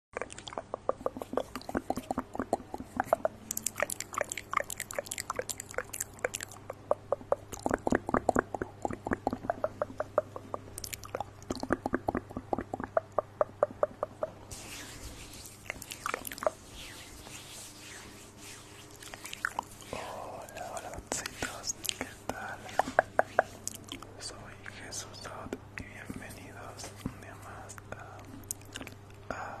Hola, hola, ¿qué tal? Soy Jesús bienvenidos un día más a, a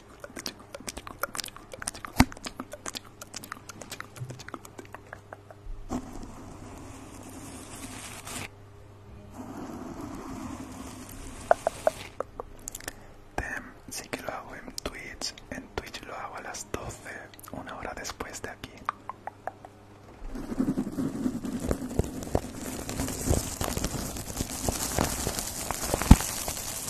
Tem, sí que lo hago en Twitch. En Twitch lo hago a las 12, una hora después de aquí.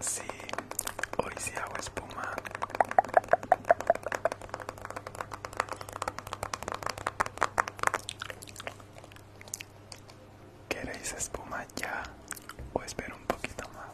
Sí, hoy sí hago espuma. ¿Queréis espuma ya o espero un poquito más?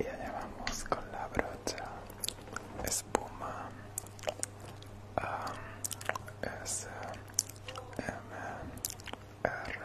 y allá vamos con la brocha espuma S M R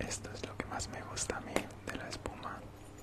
Esto es lo que más me gusta a mí de la espuma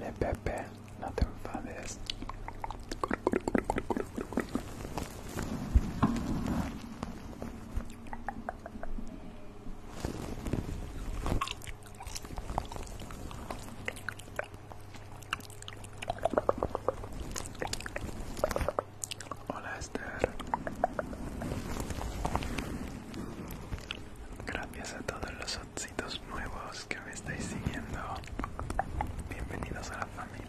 Le Pepe, no te enfades. Hola Esther. Gracias a todos los otcitos nuevos que me estáis siguiendo. Bienvenidos a la familia.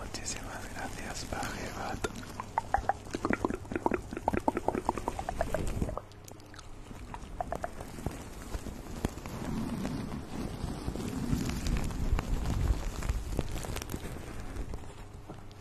Muchísimas gracias, Pajebat.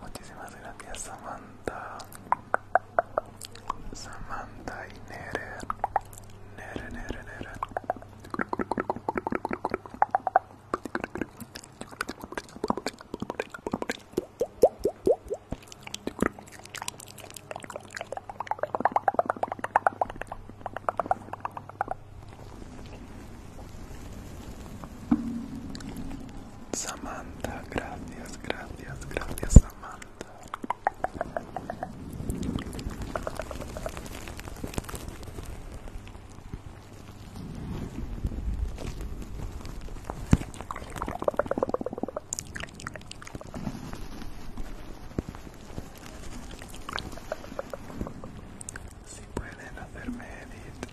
Muchísimas gracias Samantha. Samantha y Nere. Nere, Nere, Nere. Samantha, gracias, gracias, gracias Samantha. Si pueden hacerme edit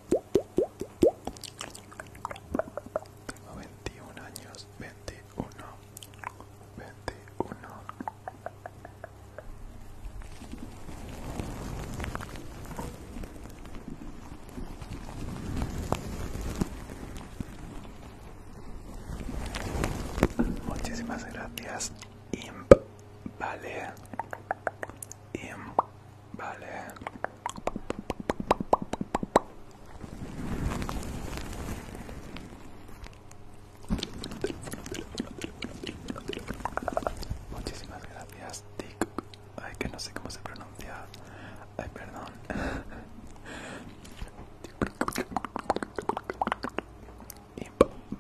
21 años, 21, 21. Muchísimas gracias, Imp, vale, Imp, vale. Muchísimas gracias, Ay, que no sé cómo se pronuncia. Ay, perdón.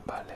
vale.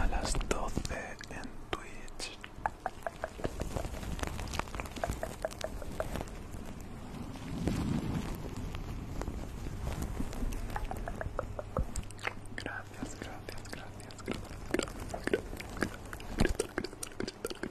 A las 12 en Twitch. Gracias, gracias, gracias, gracias, gracias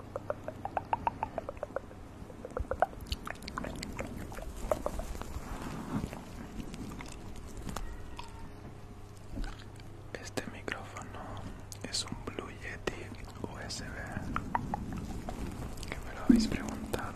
Este micrófono es un Blue Yeti USB que me lo habéis preguntado.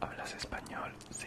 Hablas español, sí.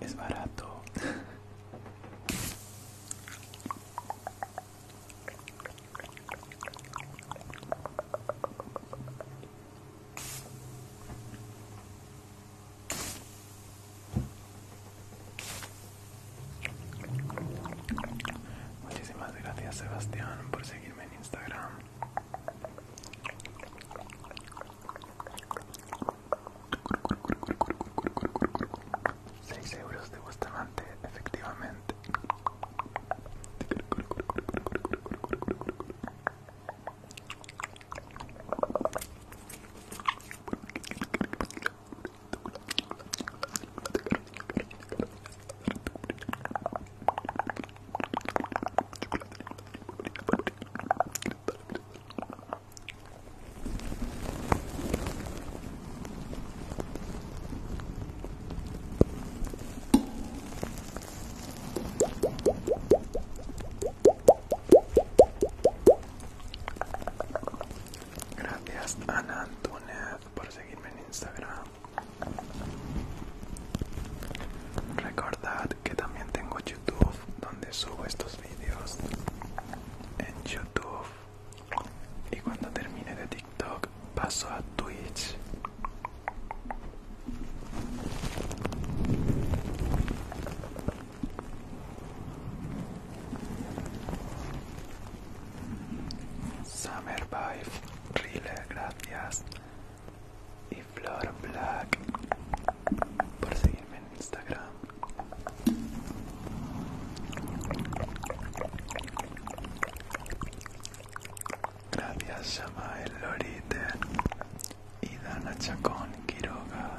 Es barato. Muchísimas gracias Sebastián por seguirme en Instagram. Seis euros de Bustamante, efectivamente. Gracias Ana Antunes por seguirme en Instagram. Recordad que también tengo YouTube donde subo estos vídeos en YouTube y cuando termine de TikTok paso a Twitch. Summer Vibe, Rile, gracias y Flor Black por seguirme en Instagram. Gracias Shamael Lorite y Dana Chacón Quiroga.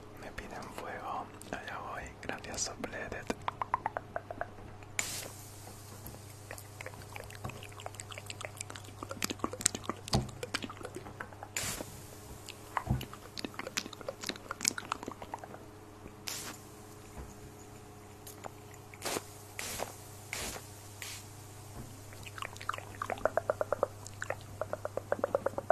Me piden fuego. Allá voy. Gracias, Sopledet.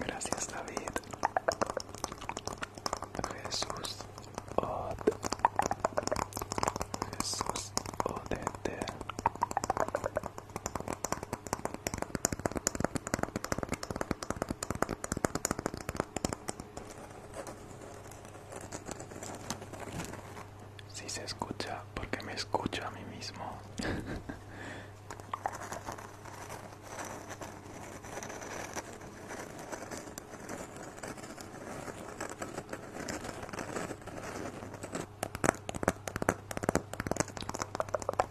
Gracias David. Jesús Od. Jesús Odete. Si se escucha, porque me escucho a mí mismo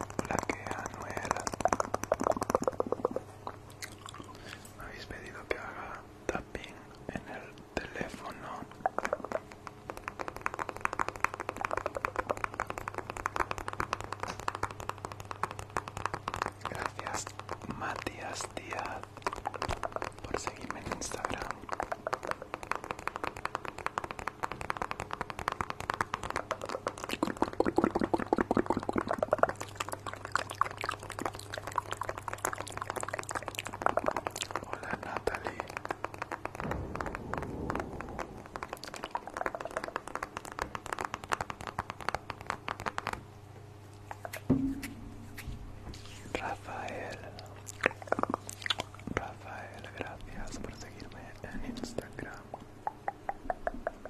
que a Me habéis pedido que haga tapping en el teléfono. Gracias, Matías Díaz, por seguirme en Instagram. Hola Natalie. Rafael. Rafael, gracias por seguirme en Instagram.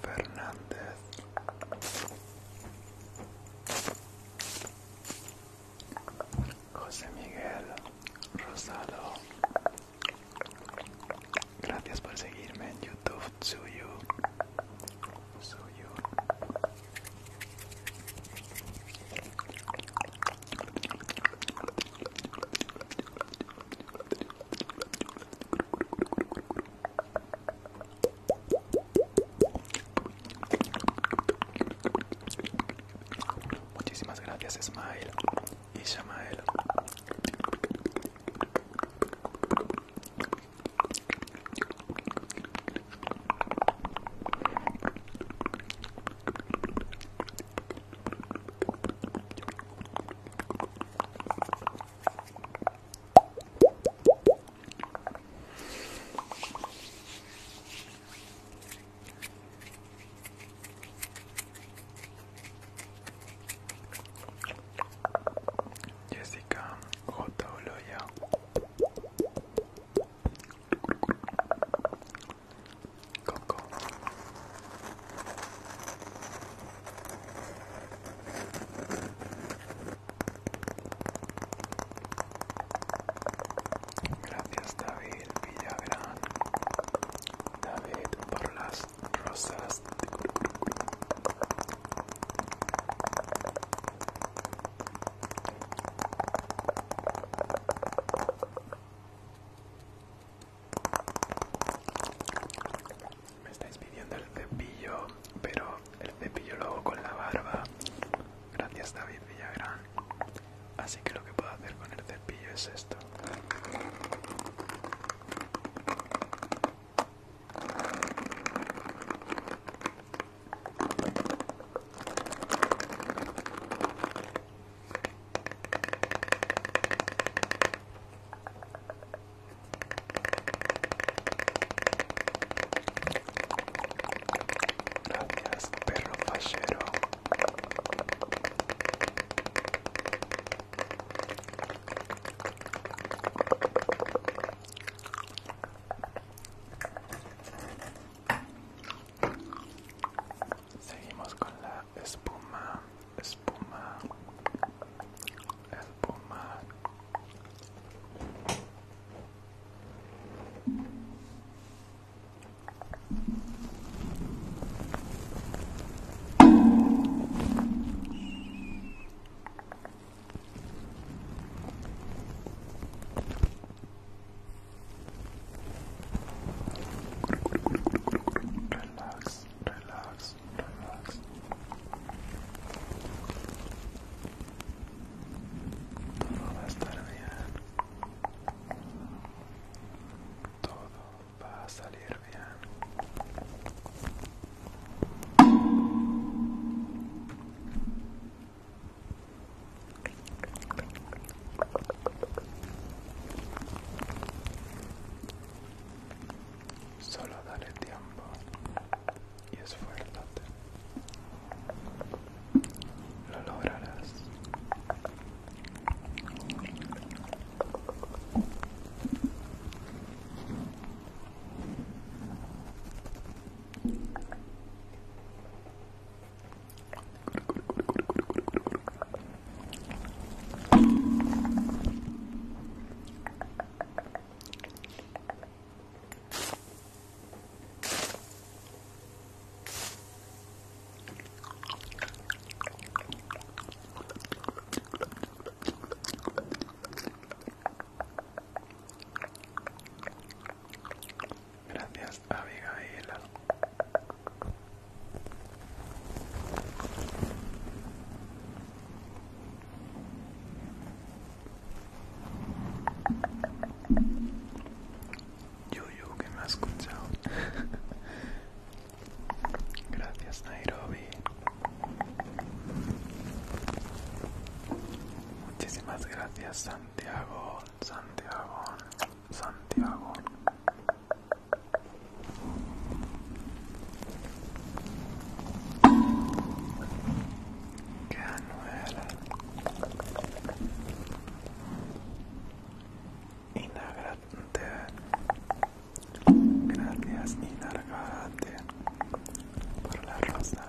Fernández. José Miguel Rosado. Gracias por seguirme en YouTube. suyo Muchísimas gracias, Smile e Shamael. Jessica J. Coco Gracias David Villagrán, David por las rosas. Me estáis pidiendo el cepillo, pero el cepillo lo hago con la barba. Gracias David Villagrán. Así que lo que puedo hacer con el cepillo es esto. Gracias, perro fallero. Seguimos con la espuma, espuma. el pomar. Relax, relax, relax. Todo va a estar bien. Todo va a salir bien. Solo dale tiempo y fuerte Lo lograrás. Gracias, Abigail. Yo, yo que me ha escuchado. Gracias, Nairobi. Muchísimas gracias, Santiago, Santiago, Santiago. Canuela. Inagrante. Gracias, Inagrante, por la rosa.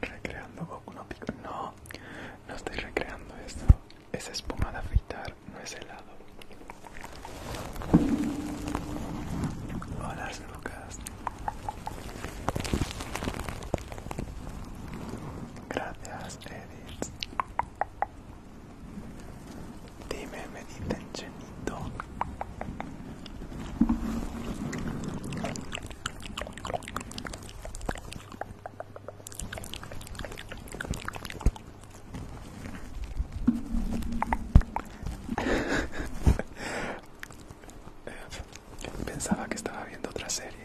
Recreando Goku no No, no estoy recreando esto. Es espuma de afeitar, no es helado. Hola, Lucas. Gracias, Edith. Dime, me dicen Chenito. Pensaba que estaba viendo otra serie.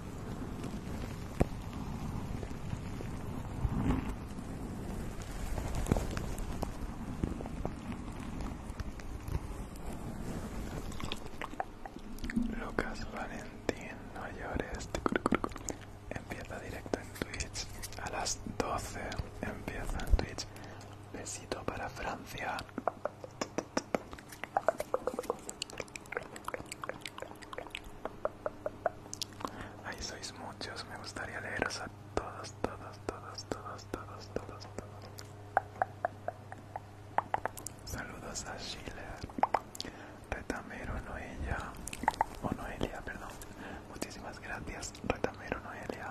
Lucas Valentín, no llores. Empieza directo en Twitch. A las 12 empieza en Twitch. Besito para Francia. Ahí sois muchos, me gustaría leeros a todos, todos, todos, todos, todos, todos, todos. Saludos a Sheila, Retamero Noelia, o Noelia, perdón. Muchísimas gracias, Retamero Noelia.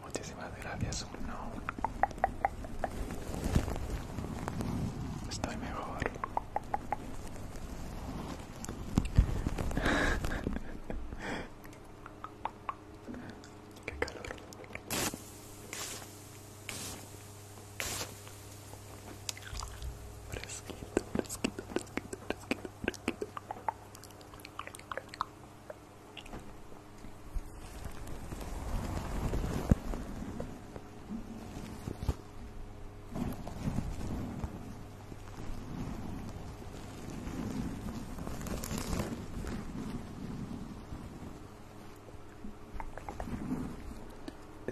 Muchísimas gracias, uno. Estoy mejor. Qué calor. Fresquito, fresquito, fresquito, fresquito, fresquito.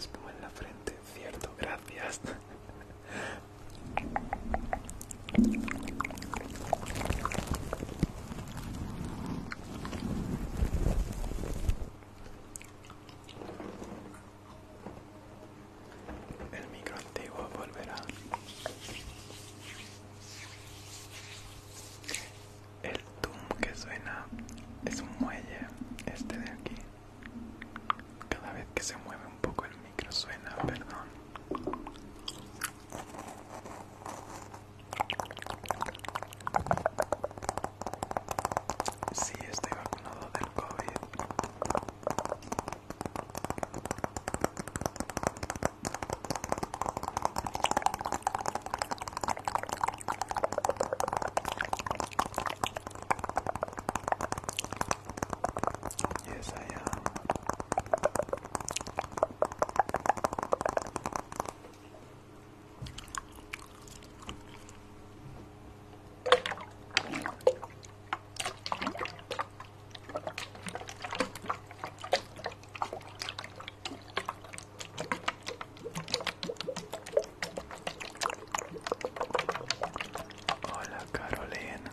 Espuma en la frente, cierto, gracias. El micro antiguo volverá. El tum que suena es un muelle, este de aquí. Cada vez que se mueve un poco el micro suena, perdón. Sí, estoy vacunado del COVID. Ya I Hola Carolina.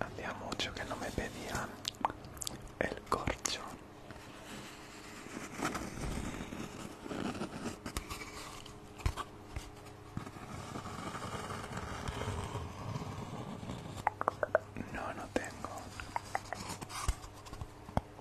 Había mucho que no me pedían el corcho. No, no tengo.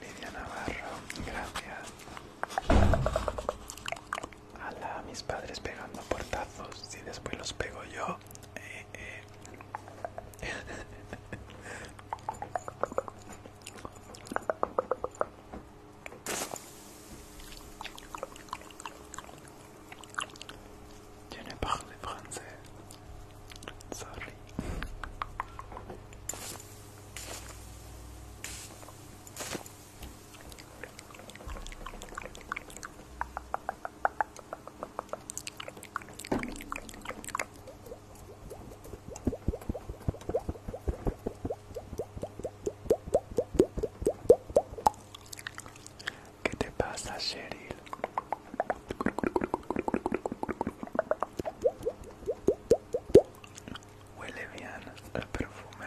Lidia Navarro, gracias. Ala, mis padres pegando portazos. y después los pego yo. Eh, eh. Je ne Sorry. ¿Qué te pasa, Cheryl? Huele bien el perfume.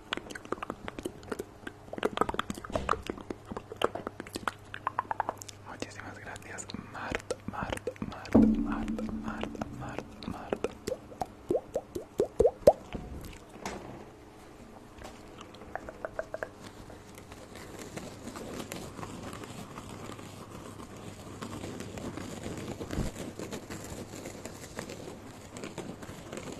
Muchísimas gracias, Mart, Marta, Marta, Marta, Marta, Marta, Marta.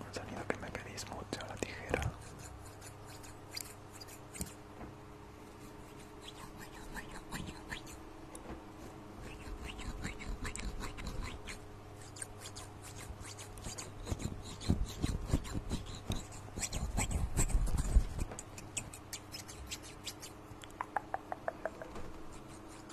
Un sonido que me pedís mucho, la tijera.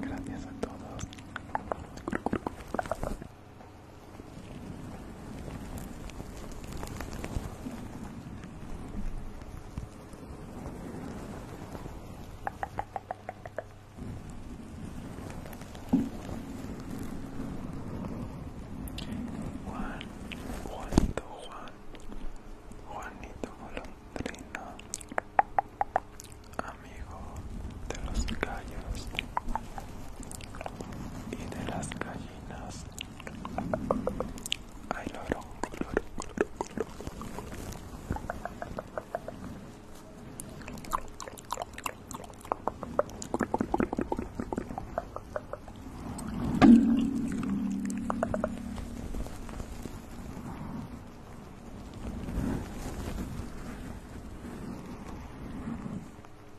Gracias a todos. Juan, Juanito, Juan, Juanito Colandrino, amigo de los gallos y de las gallinas. Ay, loro, loro, loro, loro.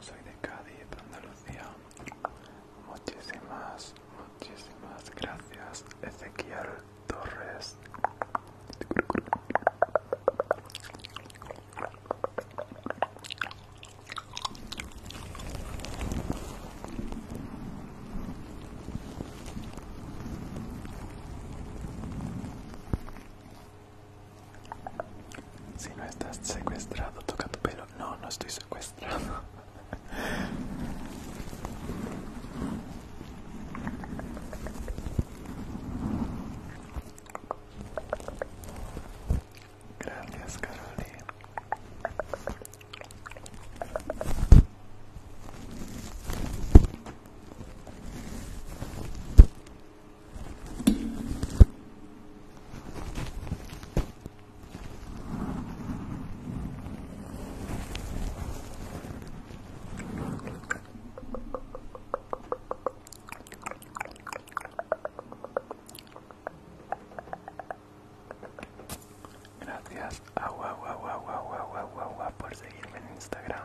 soy de Cádiz, Andalucía. Muchísimas, muchísimas gracias, Ezequiel Torres. Si no estás secuestrado, toca tu pelo. No, no estoy secuestrado. Gracias, Carolina. Gracias, agua, agua, agua, agua, agua, agua, por seguirme en Instagram.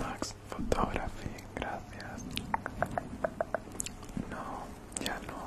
Max, photography, gracias. No, ya no.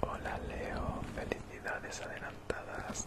Hola Leo, felicidades adelantadas.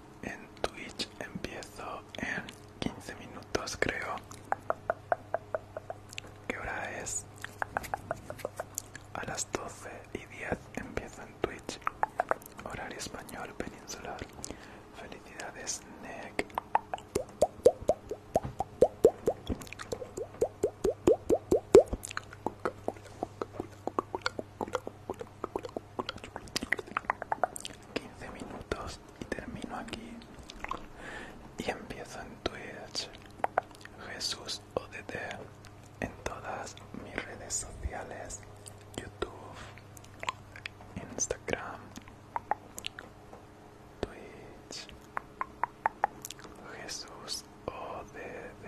en Twitch empiezo en 15 minutos creo. ¿Qué hora es? A las 12 y 10 empiezo en Twitch. Horario español peninsular. Felicidades, Nick. 15 minutos y termino aquí y empiezo en Twitch Jesús ODT en todas mis redes sociales YouTube Instagram Twitch Jesús ODD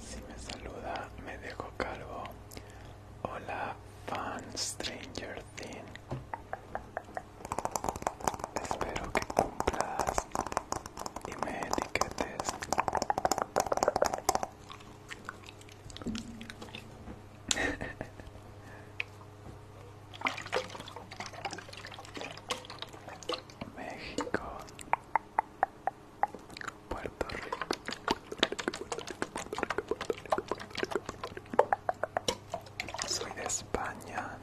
Si me saluda, me dejo calvo. Hola, fan Stranger Thing. Espero que cumplas y me etiquetes. México, Puerto Rico. Soy de España.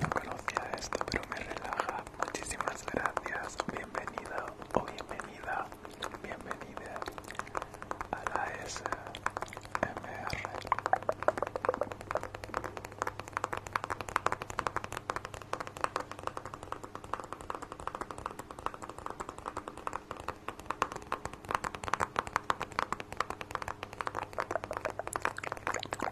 No conocía esto, pero me relaja muchísimas gracias. Bienvenido o bienvenida, bienvenida a la SMR.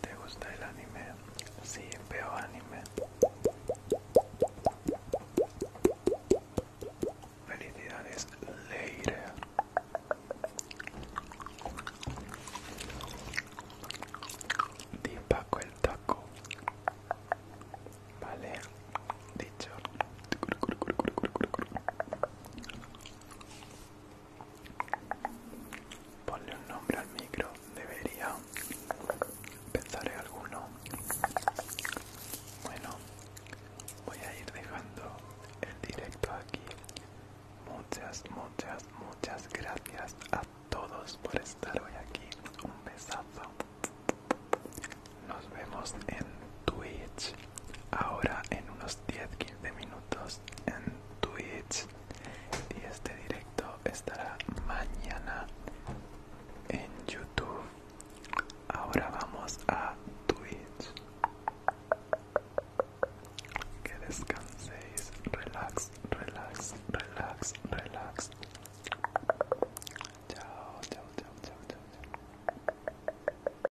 ¿Te gusta el anime? Sí, veo anime. Felicidades, Leire. Di Paco el taco. Vale, dicho. Ponle un nombre al micro, debería. Pensaré alguno. Bueno, voy a ir dejando el directo aquí. Muchas, muchas, muchas gracias a todos por estar hoy aquí. Un besazo. Nos vemos en Twitch ahora en unos 10-15 minutos en Twitch y este directo estará mañana en YouTube. Ahora vamos a Twitch. Que descanséis, relax, relax, relax, relax. Chao, chao, chao, chao, chao. chao.